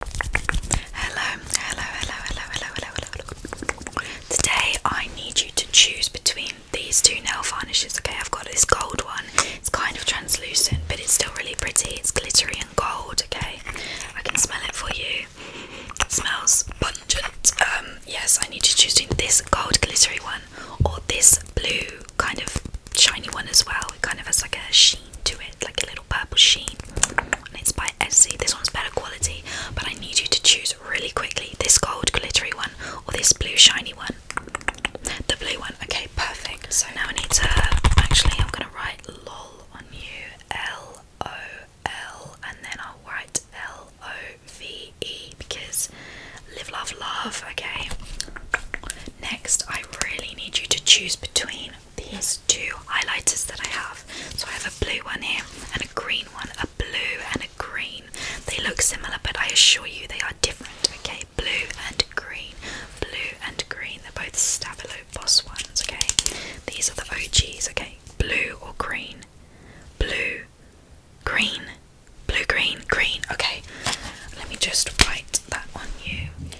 Hello, hello, hello, hello, hello, hello, hello. Today I need you to choose between these two nail varnishes. Okay, I've got this gold one. It's kind of translucent, but it's still really pretty. It's glittery and gold. Okay, I can smell it for you. It smells pungent. Um, yes, I need you to choose between this gold glittery one or this blue kind of shiny one as well. It kind of has like a sheen to it, like a little purple sheen. And it's by Essie. This one's better quality, but I need you to choose really quickly this gold glittery one or this blue shiny one. The blue one. Okay, perfect. So now I need to actually I'm gonna write LOL on you. L O L and then I'll write L O V E because live love love, okay. Next I really need you to choose between these two highlighters that I have. So I have a blue one here and a green one, a blue and a green. They look similar, but I assure you they are different. Okay, blue and green, blue and green. They're both Stabilo Boss ones. Okay, these are the OGs. Okay, blue or green, blue, green, blue, green, green. Okay, let me just write that on you.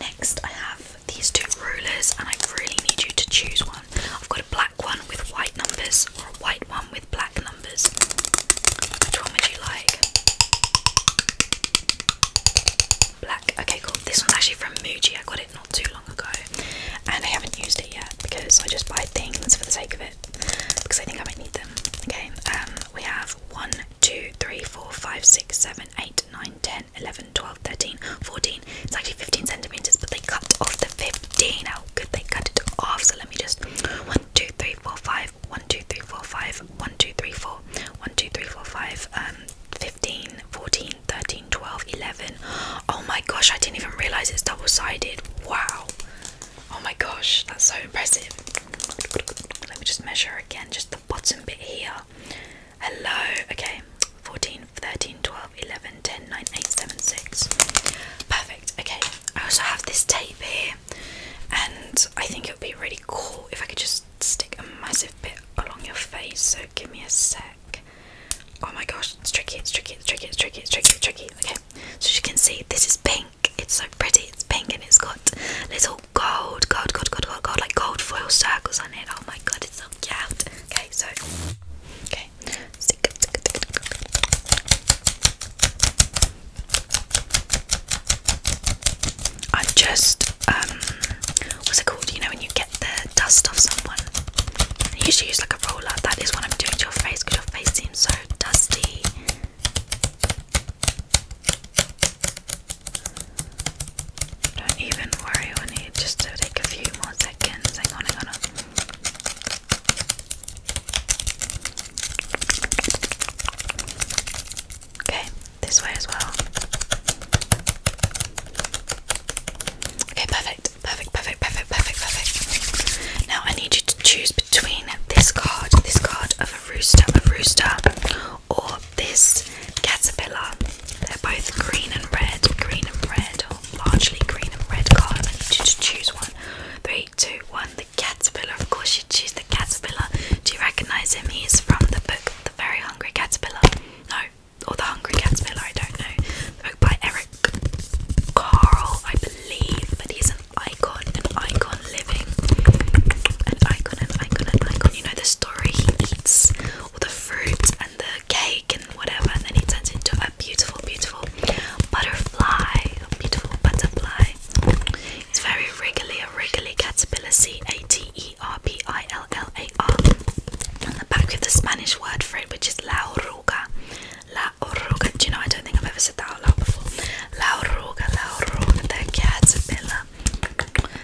Next, I have these two rulers, and I really need you to choose one. I've got a black one with white numbers, or a white one with black numbers. Which one would you like? Black. Okay, cool. This one's actually from Muji. I got it not too long ago, and I haven't used it yet because I just buy things for the sake of it because I think I might need them. Okay. Um, we have one, two, three, four, five, six, seven. 8, 9, 10, 11, 12, 13, 14. It's actually 15 centimeters, but they cut off the 15. How good they cut it off. So let me just 1, 2, 3, 4, 5, 1, 2, 3, 4, 5, 1, 2, 3, 4, 5, um, 15, 14, 13, 12, 11. Oh my gosh, I didn't even realize it's double sided. Wow. Oh my gosh, that's so impressive. Let me just measure again, just bottom bit here. Hello, okay, 14, 13, 12, 11, 10, 9, 8, 7, 6. Perfect, okay. I also have this tape here, and I think it would be really cool if I could just stick a massive bit along your face. So give me a sec. Oh my gosh, it's tricky, it's tricky, it's tricky, it's tricky, it's tricky, it's tricky. Okay, so as you can see, this is pink pink. It's so pretty. It's pink and it's got little gold, gold, gold, gold, gold, gold, like gold foil circles on it. Oh my god, it's so cute. Okay, so okay. Stick up, stick up, stick up, stick up. I've just um, what's it called? You know when you get the dust off someone. I usually use like a roller. That is what I'm doing to your face because your face seems so dusty don't even worry on it, just to take a few more seconds. Hang on, hang on. Okay, this way as well. Okay, perfect, perfect, perfect, perfect, perfect, perfect. Now I need you to choose between this card, this card of of Rooster of Rooster or this Caterpillar. They're both green and red, green and red, or largely green and red card. I need you to choose one. Three, two, one. The Caterpillar. Of course, you choose the Caterpillar. Do you recognise him? He's from the book The Very Hungry Caterpillar. No, or The Hungry Caterpillar, I don't know. book by Eric Carle, I believe, but he's an icon, and icon living, and icon, and icon, an icon. You know the story, he eats all the fruit and the cake and whatever, and then he turns into a beautiful, beautiful butterfly, beautiful butterfly. It's very regularly a regularly caterpillar, C-A-T-E-R-P-I-L-L-A-R. On the back with the Spanish word for it, which is la oruga. La oruga. Do you know, I don't think I've ever said that out loud before. La oruga, la oruga, the caterpillar.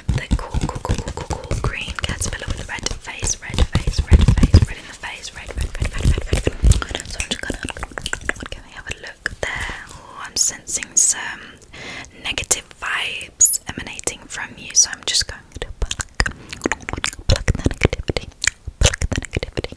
The cool, cool, cool, cool, cool, green caterpillar with red face, red face, red face, red in the face, red, red, red, red, red, So I'm just going can we have a look there? Oh, I'm sensing some negative vibes emanating from you, so I'm just going to pluck, pluck the negativity, pluck the negativity,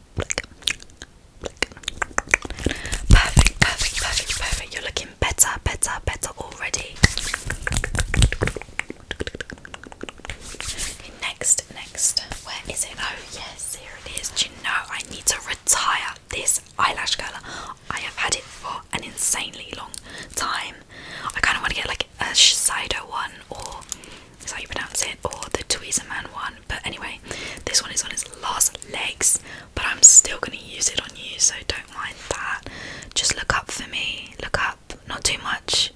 Perfect, perfect, perfect, perfect. You're looking better, better, better already. next, next. Where is it? Oh, yes, here it is. Do you know I need to retire this eyelash curler? I have had it for an insanely long time. I kind of want to get like a Shiseido one, or how you pronounce it, or the Tweezerman one. But anyway, this one is on its last legs, but I'm still going to use it on you, so don't mind that. Just look up for me, look up, not too much.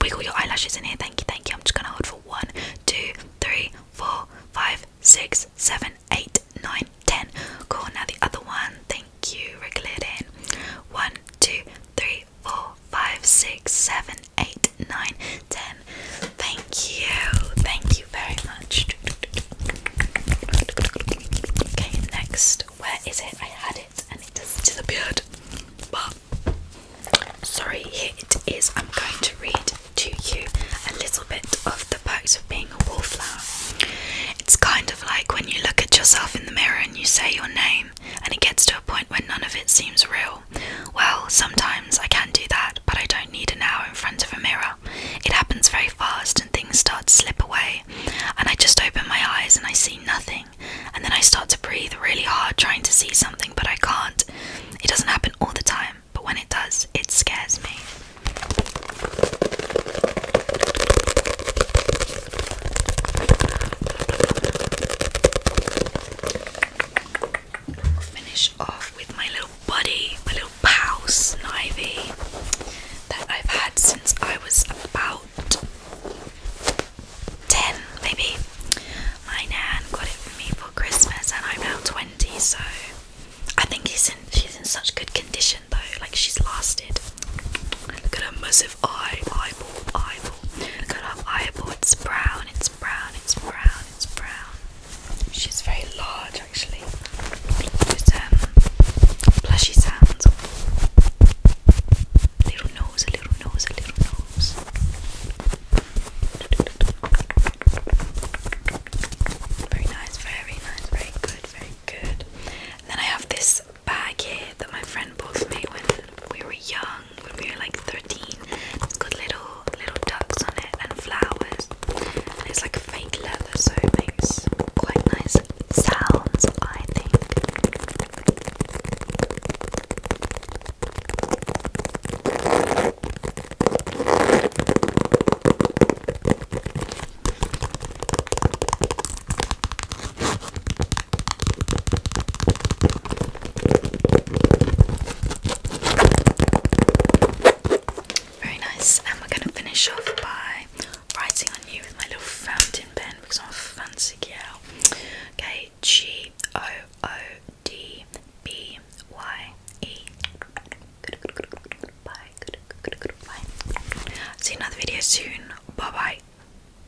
Wiggle your eyelashes in here, thank you, thank you. I'm just going to hold for one, two, three, four, five, six, seven, eight, nine, ten. Cool, now the other one, thank you, wriggle it in. One, two, three, four, five, six, seven, eight, nine, ten. Thank you, thank you very much. Okay, next, where is it? I had it and it just disappeared. But sorry, here it is. I'm going to read to you a little bit of the perks of being a wallflower. It's kind of like when you look at yourself in the mirror and you say your name, and it gets to a point where none of it seems real. Well, sometimes I can do that, but I don't need an hour in front of a mirror. It happens very fast and things start to slip away, and I just open my eyes and I see nothing, and then I start to breathe really hard trying to see something, but I can't. It doesn't happen all the time, but when it does, it scares me finish off with my little buddy, my little pal Snivy that I've had since I was about 10 maybe. My nan got it for me for Christmas and I'm now 20 so I think he's in, she's in such good condition though, like she's lasted. Look at her massive eye, eyeball, eyeball. Look at her eyeball, it's brown, it's brown, it's brown, it's brown. She's very large actually. With um, plushy sounds. Little nose, a little nose, a little nose. Very nice, very nice, very good, very good. then I have this bag here that my friend bought for me when we were young young, when we were like 13. It's got little little ducks on it and flowers. it's like fake leather, so it makes quite nice sounds, I think. Very nice, and we're gonna finish off by writing on you with my little fountain pen because I'm a fancy girl. Okay, G O O D B Y E. Good, good, bye. See another video soon. Bye bye.